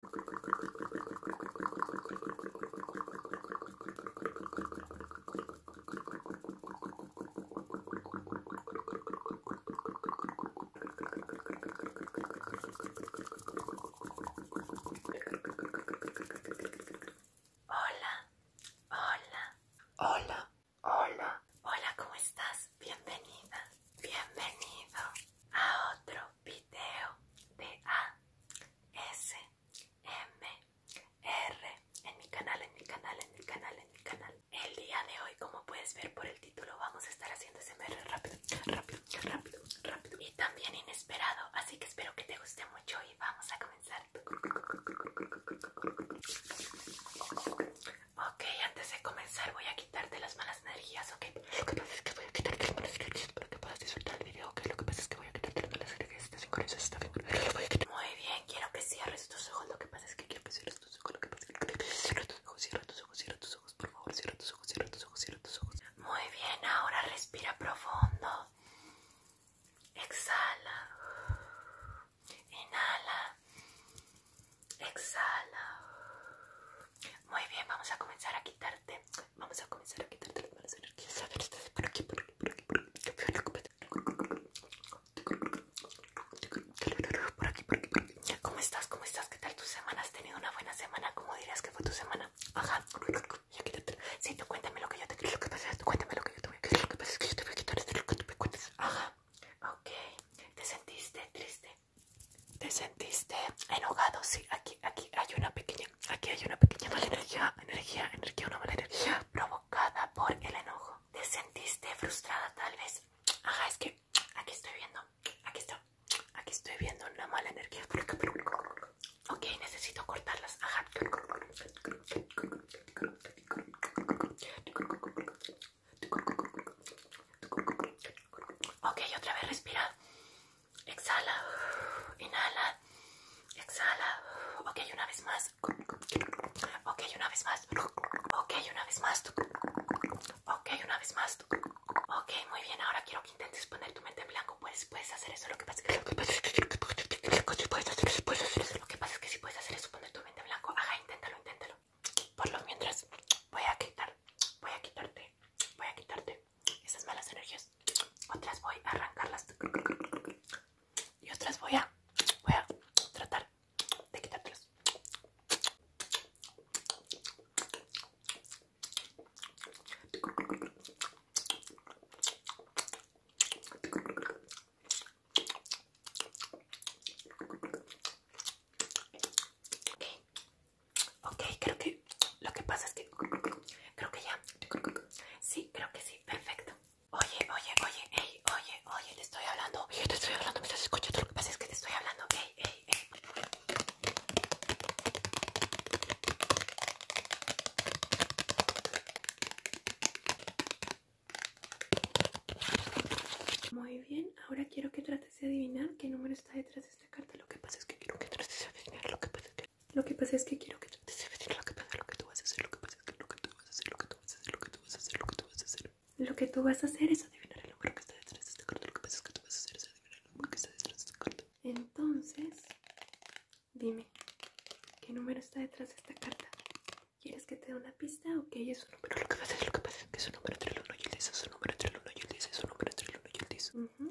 Hola, hola, hola, hola, hola, ¿cómo estás? Bienvenida, bienvenido a otro video de r en mi canal, en mi canal, en mi canal, en mi canal. El día de hoy, como puedes ver por el título, vamos a estar haciendo SMR rápido, rápido, rápido, rápido y también inesperado. Así que espero que te guste mucho y vamos a comenzar. Ok, antes de comenzar voy a quitarte las manos energías, ¿ok? Lo que pasa es que voy a quitarte las manos para que puedas disfrutar el video, ¿ok? Lo que pasa es que voy a quitarte las energías, ¿estás sincronizado? ¿Estás sincronizado? Muy bien, quiero que cierres tus ojos, lo que pasa es que quiero que cierres tus ojos, lo que pasa es que cierra tus ojos, cierra tus ojos, cierra tus ojos, por favor, cierra tus ojos, cierra tus ojos, cierra tus ojos. Muy bien, ahora respira profundo. Exhala. Inhala. Exhala. Muy bien, vamos a comenzar a quitarte. Vamos a comenzar a quitarte las malas energías. A ver, estás por aquí, por aquí, por aquí, por aquí. Por aquí, por aquí, por aquí. ¿Cómo estás? ¿Cómo estás? ¿Qué tal tu semana? ¿Has tenido una buena semana? ¿Cómo dirías que fue tu semana? Ajá. Sí, tú cuéntame lo que yo te quiero. Lo que pasa es que cuéntame lo que yo te voy a quitar. Lo que pasa es que yo te voy a quitar. Ajá. Ok. ¿Te sentiste triste? ¿Te sentiste enojado? Sí, aquí, aquí hay una pequeña, aquí hay una pequeña mala energía, energía, energía, una mala energía provocada por el enojo. ¿Te sentiste frustrada tal vez? Ajá, es que aquí estoy viendo, aquí aquí estoy viendo una mala energía. Ok, necesito cortarlas. Ajá. Ok, otra vez respira exhala, inhala, exhala. Ok, una vez más. Ok, una vez más. Ok, una vez más. Ok, una vez más. Ok, muy bien. Ahora quiero que intentes poner tu mente en blanco. Puedes, puedes hacer eso. Lo que pasa es que lo que pasa que si puedes hacer eso, poner tu mente en blanco. Ajá, inténtalo, inténtalo. Por lo mientras voy a quitar, voy a quitarte, voy a quitarte esas malas energías otras voy a arrancarlas y otras voy a voy a tratar de quitarlas Ok, creo que lo que pasa es que creo que ya. Sí, creo que sí, perfecto. Oye, oye, oye, oye, oye, te estoy hablando. te estoy hablando, me estás escuchando. Lo que pasa es que te estoy hablando. Muy bien, ahora quiero que trates de adivinar qué número está detrás de este carta. Lo que pasa es que quiero que trates de adivinar. Lo que pasa es que, lo que, pasa es que quiero que pasa es que Lo que pasa lo que tú vas a hacer. Lo que pasa es que lo que tú vas a hacer. Lo que tú vas a hacer. Lo que tú vas a hacer. Lo que tú vas a hacer. Lo que tú vas a hacer es adivinar el número que está detrás de esta carta. Lo que pasa es que tú vas a hacer es adivinar el número que está detrás de esta carta. Entonces, dime, ¿qué número está detrás de esta carta? ¿Quieres que te dé una pista o qué que es un número? Lo que pasa es, lo que pasa es que es un número entre el 1 y el Es un número entre el 1 y el Es un número entre el 1 y el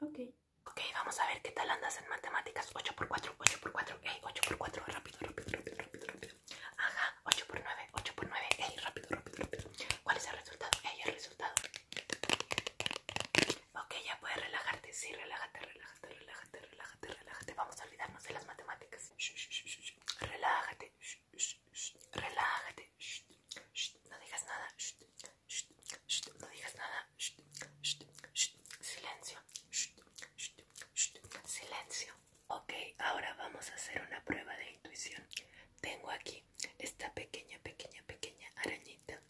Ok. Okay, vamos a ver qué tal andas en matemáticas. 8 x 4, 8 x 4, ey, 8 x 4, rápido, rápido, rápido, rápido, rápido. Ajá, 8 por 9, 8 x 9, ey, rápido, rápido, rápido. ¿Cuál es el resultado? Ey, el resultado. Ok, ya puedes relajarte, sí, relájate, relájate, relájate, relájate, relájate. Vamos a olvidarnos de las matemáticas. Relájate, relájate, shh, no digas nada, shh no digas nada. silencio. silencio. Ok, ahora vamos a hacer una prueba de intuición. Tengo aquí esta pequeña, pequeña, pequeña arañita.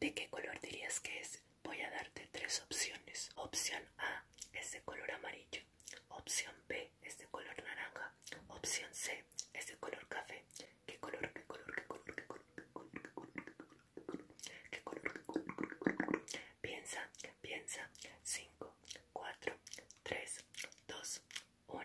¿De qué color dirías que es? Voy a darte tres opciones. Opción A es de color amarillo. Opción B es de color naranja Opción C ese color café. ¿Qué color? ¿Qué color? ¿Qué color? ¿Qué color? ¿Qué color? ¿Qué color? ¿Qué color? ¿Qué color? Piensa, piensa. 5, 4, 3, 2, 1.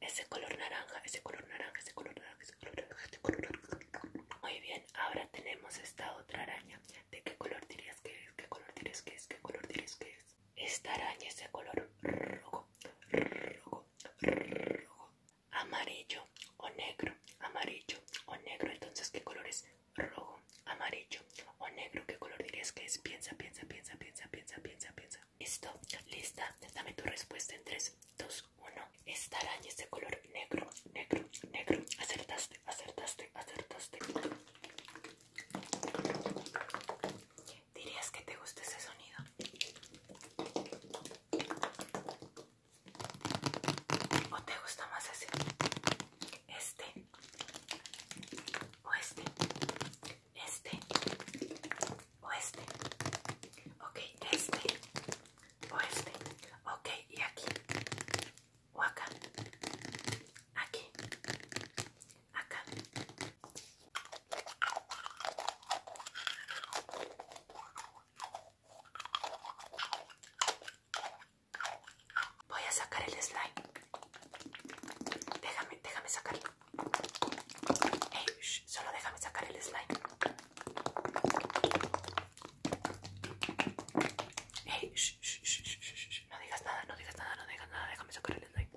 Ese color naranja, ese color naranja, ese color naranja, ese color naranja, ese color naranja. Muy bien, ahora tenemos esta otra araña. ¿De qué color dirías que es? ¿Qué color dirías que es? ¿Qué color dirías que es? Esta araña es de color rojo, rojo, amarillo o negro, amarillo o negro. Entonces, ¿qué color es? Rojo, amarillo o negro. ¿Qué color dirías que es? Piensa, piensa, piensa, piensa, piensa, piensa, piensa. Listo, lista. Dame tu respuesta en 3, 2, 1. Esta araña es de color negro, negro, negro. Acertaste, acertaste, acertaste. ¿Dirías que te gusta ese sonido? ¿O te gusta más ese? Este. O este. Este. O este. Ok, este. O este. Ok, y aquí. O acá. Aquí. Acá. Voy a sacar el slime. Déjame, déjame sacarlo. solo déjame sacar el slime. no digas nada, no digas nada, no digas nada, déjame sacar el slime.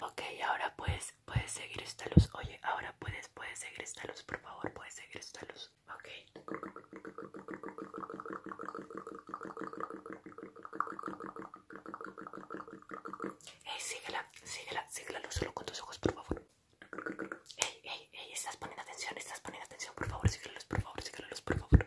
Ok, ahora puedes, puedes seguir esta luz. Oye, ahora puedes, puedes seguir esta luz, por favor, puedes seguir esta luz. Ok. Ey, síguela, síguela, síguela solo con tus ojos, por favor. Ey, ey, ey, estás poniendo atención, estás poniendo atención, por favor, Síguelos, por favor, síguelos, por favor.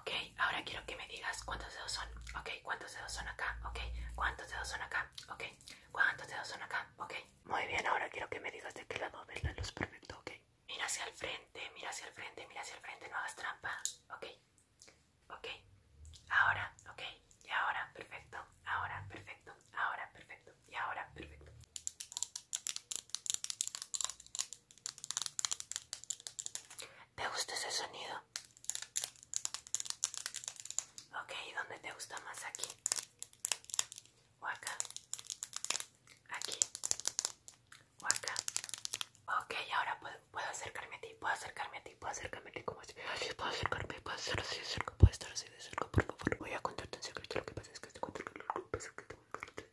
Ok, ahora quiero que me digas cuántos dedos son. Ok, cuántos dedos son acá. Ok, cuántos dedos son acá. Ok, cuántos dedos son acá. Ok, muy bien. Ahora quiero que me digas de qué lado ves los luz. Perfecto, ok. Mira hacia el frente, mira hacia el frente, mira hacia el frente. No hagas trampa. Ok, ok. Ahora, ok. Y ahora, perfecto. Ahora, perfecto. Ahora, perfecto. Y ahora, perfecto. ¿Te gusta ese sonido? Ok, ¿dónde te gusta más? ¿Aquí? ¿O acá? ¿Aquí? ¿O acá? Ok, ahora puedo, acercarme a ti, puedo acercarme a ti, puedo acercarme a ti como así. Puedo acercarme, puedo estar así de cerca, puedo estar así de cerca, por favor. Voy a contarte un secreto, lo que pasa es que este contando que lo que pasa es que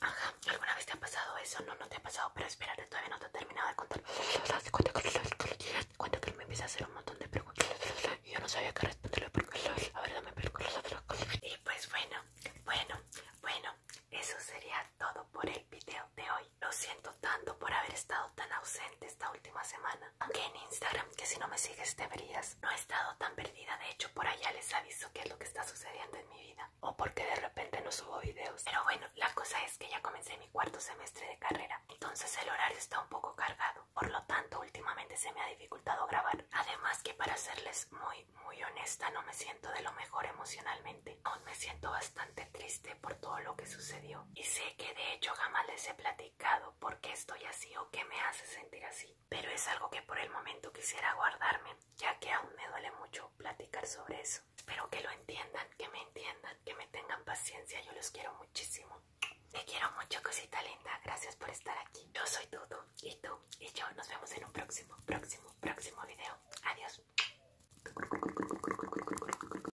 Ajá, ¿alguna vez te ha pasado eso? No, no te ha pasado, pero espérate, todavía no te he terminado de contar. Cuenta que me empieza a hacer un montón de preguntas y yo no sabía qué responderle porque la verdad me perco Y pues bueno, bueno, bueno, eso sería todo por el video de hoy. Lo siento tanto por haber estado tan ausente esta última semana. Aunque en Instagram, que si no me sigues Te verías, no he estado tan perdida. De hecho, por allá les aviso qué es lo que está sucediendo en mi vida. O porque de repente no subo videos. Pero bueno, la cosa es que ya comencé mi cuarto semestre de carrera. Entonces el horario está un poco cargado. Por lo tanto, últimamente se me ha dificultado grabar. Además que para serles muy, muy honesta, no me siento de lo mejor emocionalmente. Aún me siento bastante triste por todo lo que sucedió y sé que de hecho jamás les he platicado por qué estoy así o qué me hace sentir así, pero es algo que por el momento quisiera guardarme, ya que aún me duele mucho platicar sobre eso. Pero que lo entiendan, que me entiendan, que me tengan paciencia, yo los quiero muchísimo. Te quiero mucho, cosita linda, gracias por estar aquí. Yo soy Dudu y tú y yo nos vemos en un próximo, próximo, próximo video. Adiós.